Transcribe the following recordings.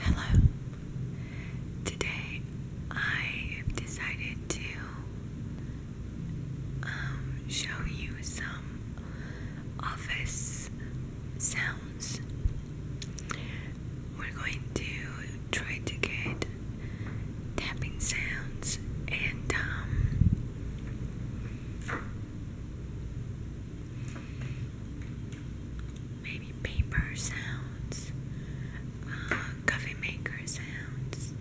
Hello. Today I decided to um, show you some office sounds. We're going to try to get tapping sounds and um maybe paper sounds, uh, coffee maker sounds,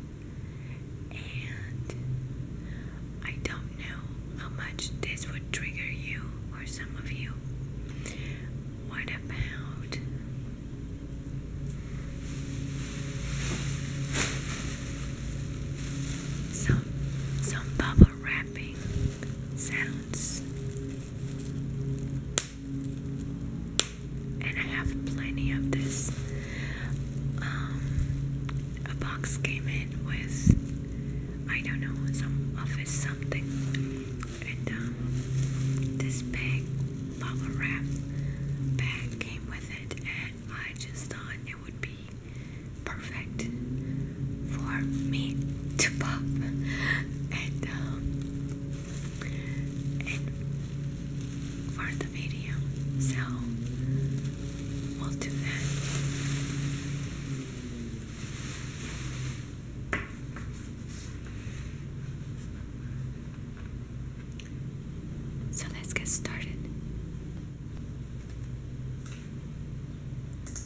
and I don't know how much this would trigger you or some of you. What about? Some some bubble wrapping sounds and I have plenty of this. Um, a box came in with I don't know some office something, and um, this bag, bubble bag, came with it, and I just thought it would be perfect for me to pop and um, and for the video. So we'll do that. So let's get started.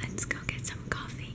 Let's go get some coffee.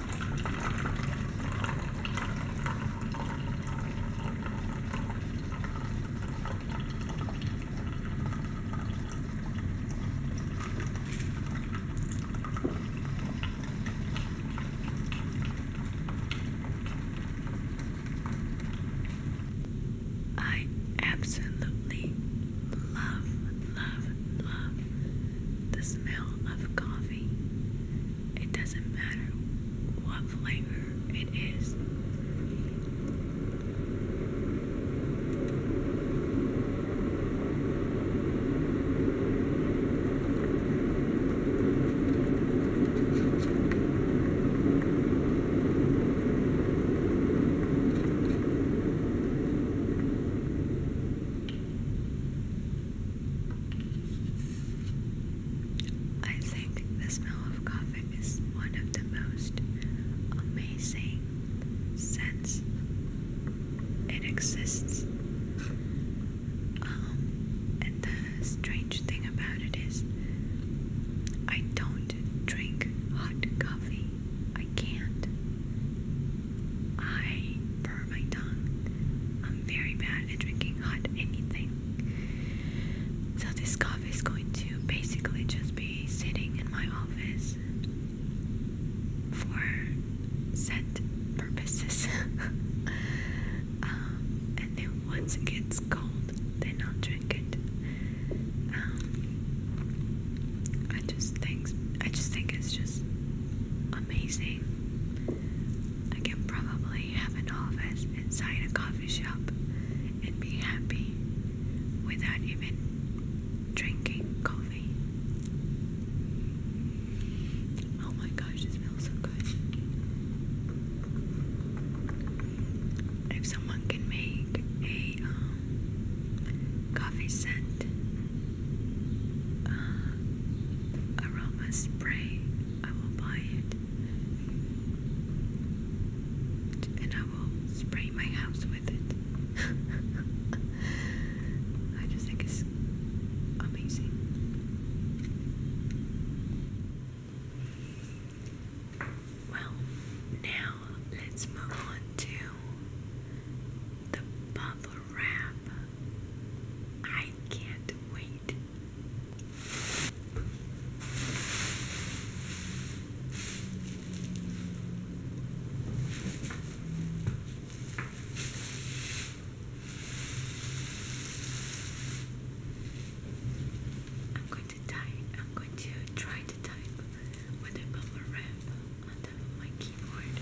I absolutely love, love, love the smell of coffee. It doesn't matter what flavor it is. I think the smell of coffee is one of the most amazing scents. It exists. Um, and the strange thing about it is, I don't drink hot coffee. I can't. I burn my tongue. I'm very bad at drinking hot anything. So this coffee is going to basically just be sitting in my office for set purposes. Um, and then once it gets cold, then I'll drink it. Um, I just think I just think it's just amazing. I can probably have an office inside a coffee shop and be happy without even drinking coffee. Oh my gosh, it smells so good. If someone can make a um, coffee scent uh, aroma spray. I will buy it and I will spray my house with it. I just think it's amazing. Well, now let's move on to the bubble wrap. I can't wait. I'm going to type, I'm going to try to type with a bubble wrap on top of my keyboard.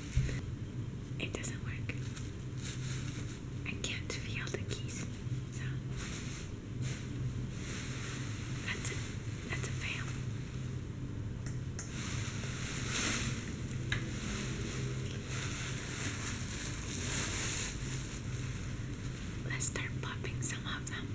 It doesn't work. I can't feel the keys. So that's it. That's a fail. Let's start popping some of them.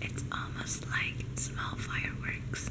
It's almost like small fireworks.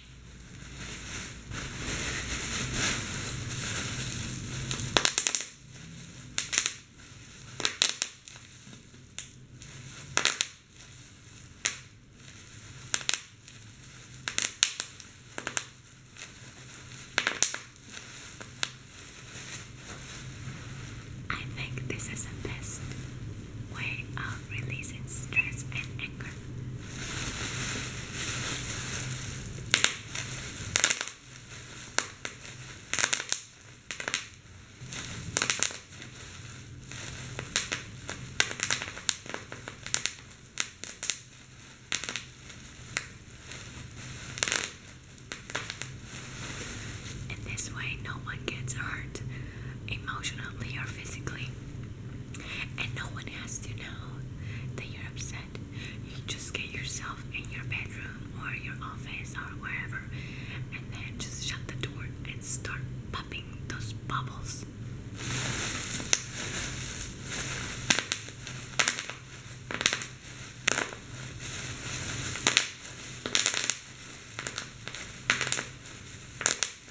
I think this is the best way of releasing stress and anger. In this way, no one gets hurt emotionally or physically. And no one has to know that you're upset. You just get yourself in your bedroom or your office or wherever, and then just shut the door and start popping those bubbles.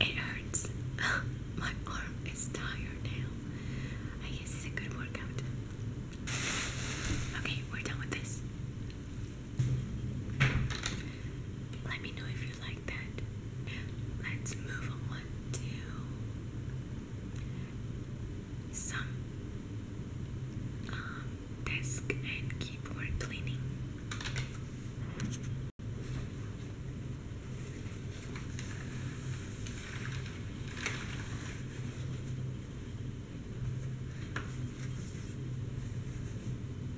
It hurts. My arm is tired now. I guess it's a good workout. Okay, we're done with this. Let me know if you like that. Let's move on to some um, desk and keyboard cleaning.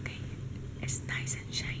Okay, it's nice and shiny.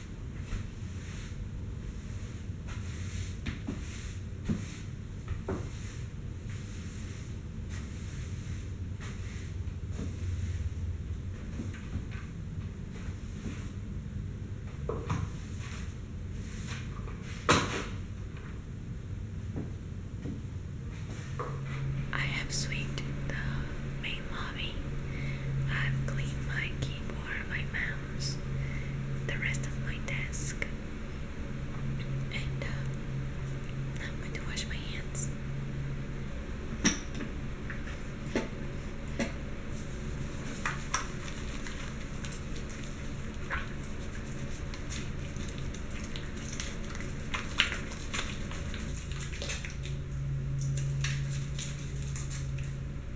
I have sweet the main mommy, I've cleaned my keyboard, my mouse, the rest of my desk, and uh, I'm going to wash my hands.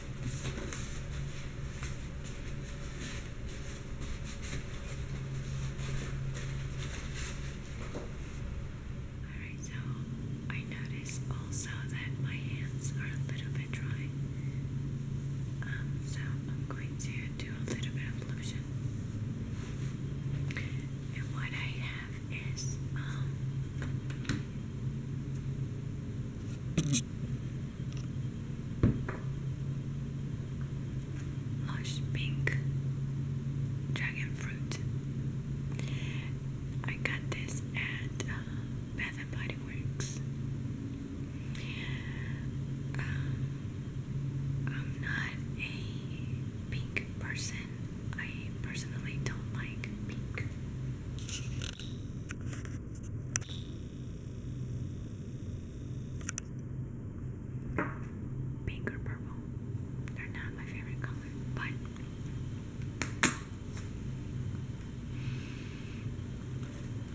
Alright, so I notice also that my hands are a little bit dry. Um, so I'm going to do a little bit of lotion. And what I have is um Lush pink dragon fruit. I got this at uh, Bath and Body Works. Um, I'm not a pink person. I personally don't like pink. Pink or purple. They're not my favorite color, but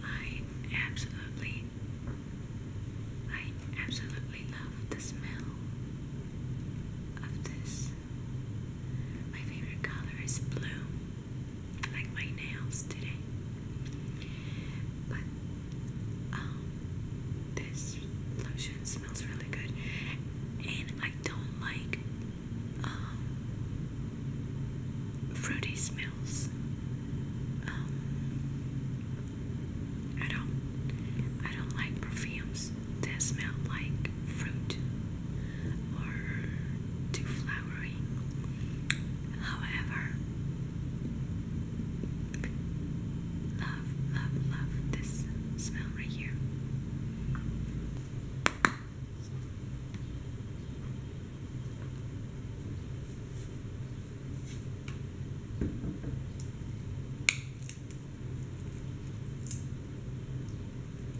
I absolutely I absolutely love the smell of this my favorite color is blue, like my nails today. But um, this lotion smells really good, and I don't like um, fruity smells. Um, I don't. I don't like perfumes flowers that smell like fruit or too flowery. However, love, love, love this smell right here.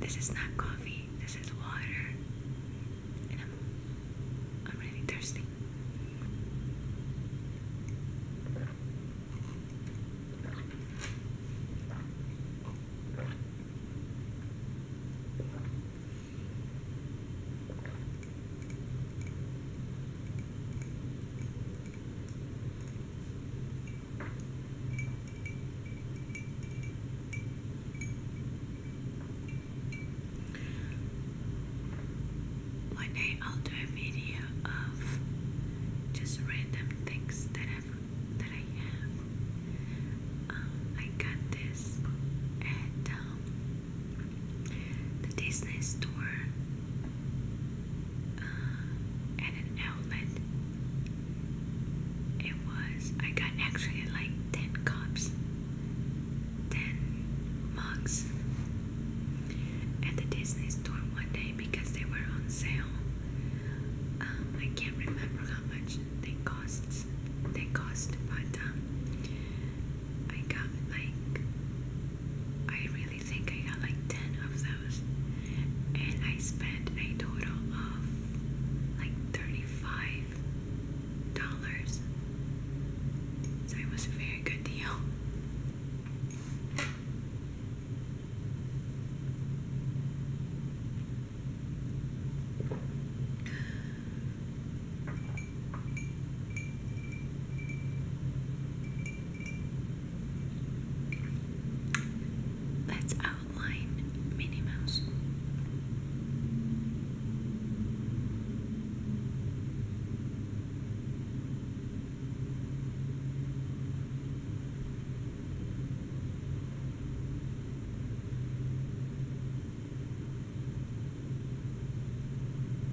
This is not coffee, this is water. And I'm I'm really thirsty. One day I'll do a video of just random things that i that I have. Um, I got this at um, the Disney store uh, an outlet. It was, I got actually like 10 cups, 10 mugs at the Disney store one day because they were on sale. Um, I can't remember how much they cost. They cost, but um, I got like, I really think I got like 10 of those. And I spent a total of like $35. So it was a very good deal. Let's outline Minnie Mouse.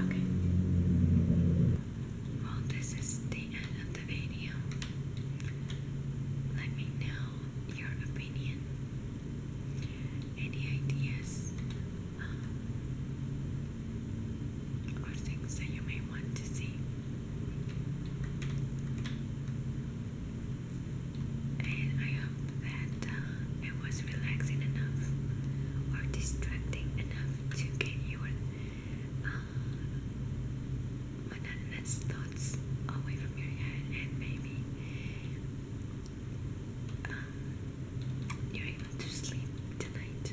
Okay. Well, this is the end of the video. Let me know your opinion any ideas um, or things that you may want to see. And I hope that uh, it was relaxing enough or distracting enough to get your uh, monotonous thoughts away from your head and maybe uh, you able to sleep tonight.